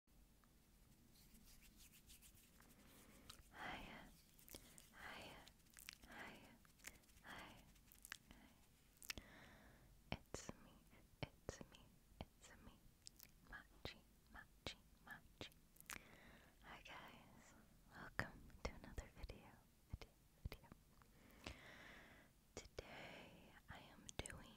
Hiya, hiya, hiya, hiya, It's me, it's me, it's me, Machi, Machi, Machi. Hi guys, welcome to another video. Today I am doing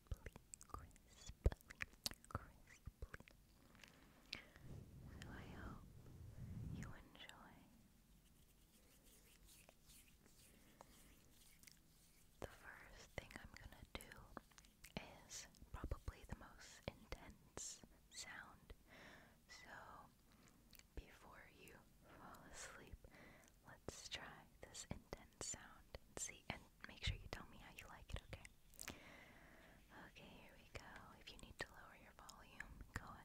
I hope you enjoy the first thing I'm gonna do is probably the most intense sound. So before you fall asleep, let's try this intense sound and see make sure you tell me how you like it, okay? Okay, here we go. If you need to lower your volume, go ahead.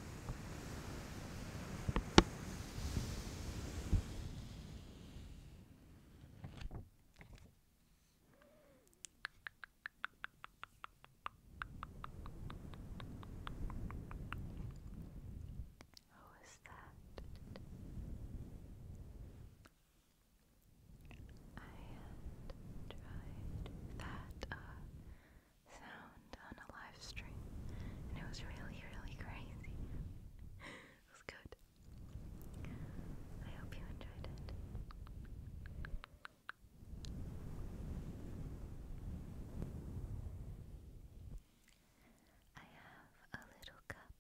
Who is that? I had tried that uh, sound on a live stream, and it was really, really crazy. it was good. I hope you enjoyed it. I have a little cup,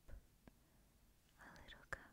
a little cup.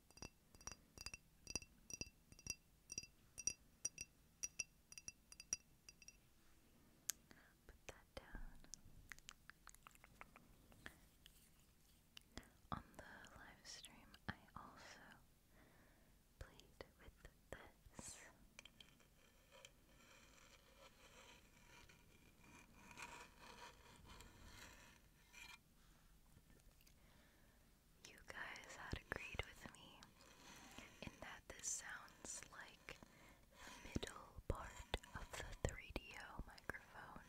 Put that down. On the live stream, I also played with this. You guys had agreed with me in that this sounds like the middle part of the 3DO microphone.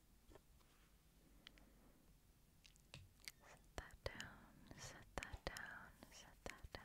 Set that down, set that down, set that down.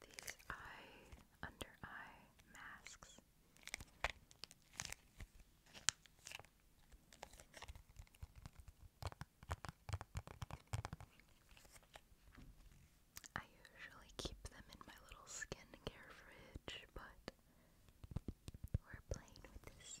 these eye, under eye masks. I usually keep them in my little skincare fridge, but we're playing with this.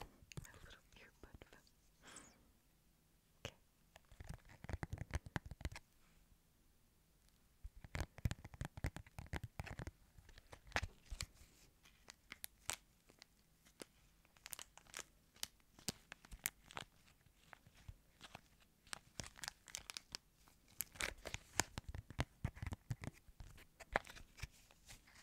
My little earbud Okay. Okay.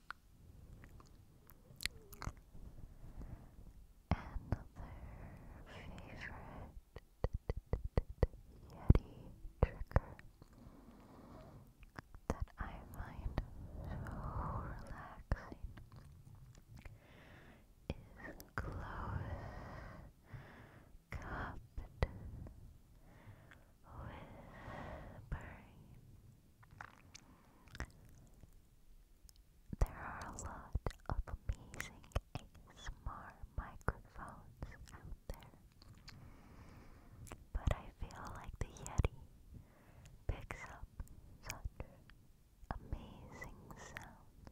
Yeti trigger that I find so relaxing is close cupped whispering. There are a lot of amazing ASMR microphones out there, but I feel like the Yeti picks up such amazing sounds.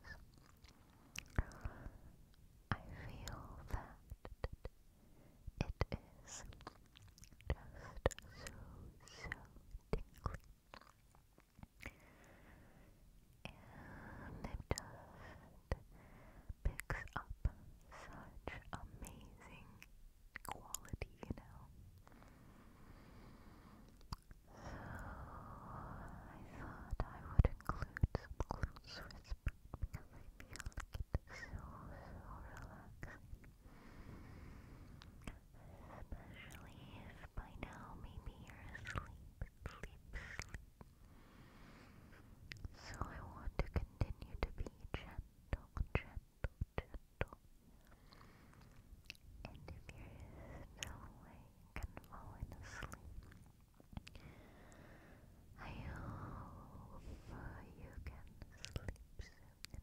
I feel that it is just so, so tingly. And it picks up such amazing quality, you know. So I thought I would include some close whisper because I feel like it's so, so relaxing. Especially if by now maybe you're asleep, sleep, So I want to continue to be gentle, gentle, gentle. And if you still awake and falling asleep, I hope you can sleep soon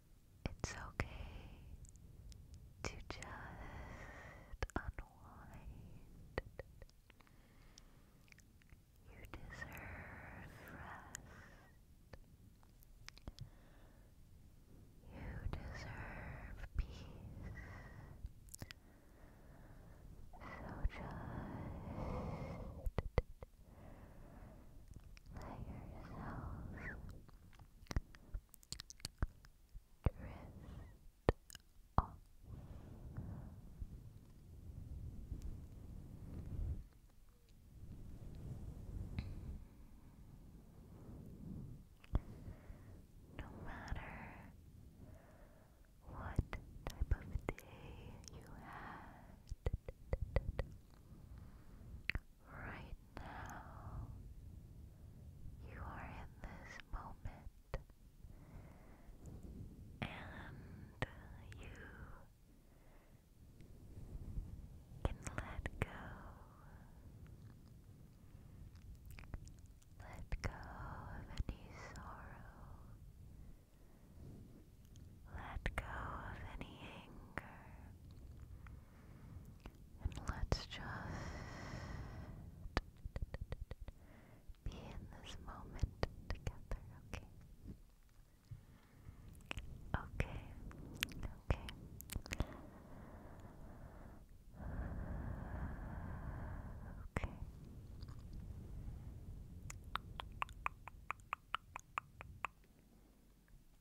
It's okay to just unwind. You deserve rest. You deserve peace. So just let yourself drift No matter what type of day you had, Right now, you are in this moment and you can let go. Let go of any sorrow. Let go of any anger. And let's just be in this moment together, okay? Okay, okay. Okay.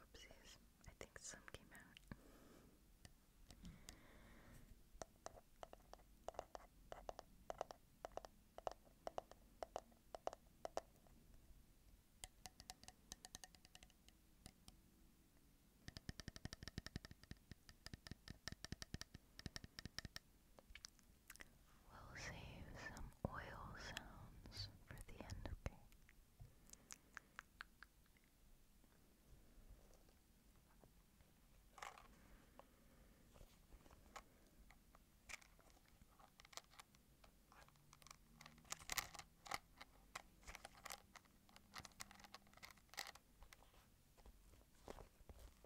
Oopsies, I think some came out. We'll save some oil sounds for the end, okay? I feel like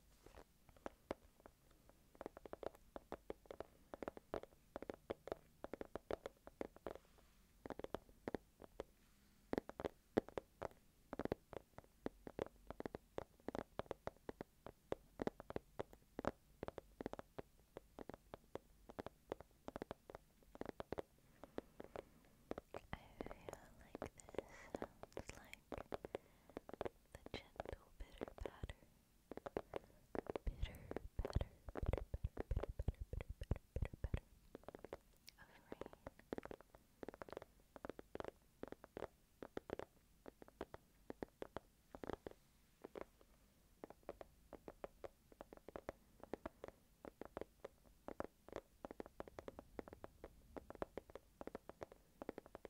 this sounds like the gentle bitter patter. Bitter patter, bitter patter, bitter patter, bitter patter, bitter patter of rain.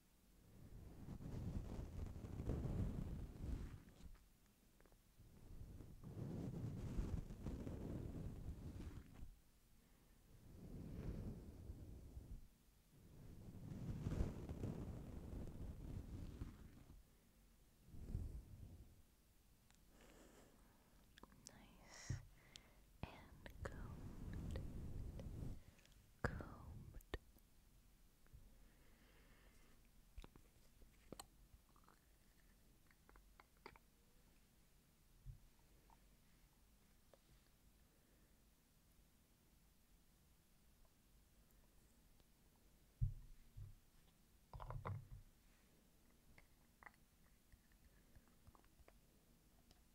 Nice and cold combed.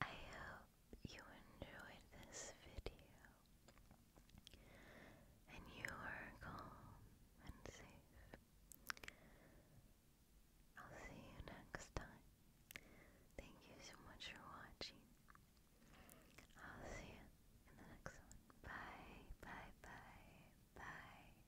I hope you enjoyed this video and you are calm and safe. I'll see you next time. Thank you so much for watching. I'll see you in the next one. Bye, bye, bye, bye.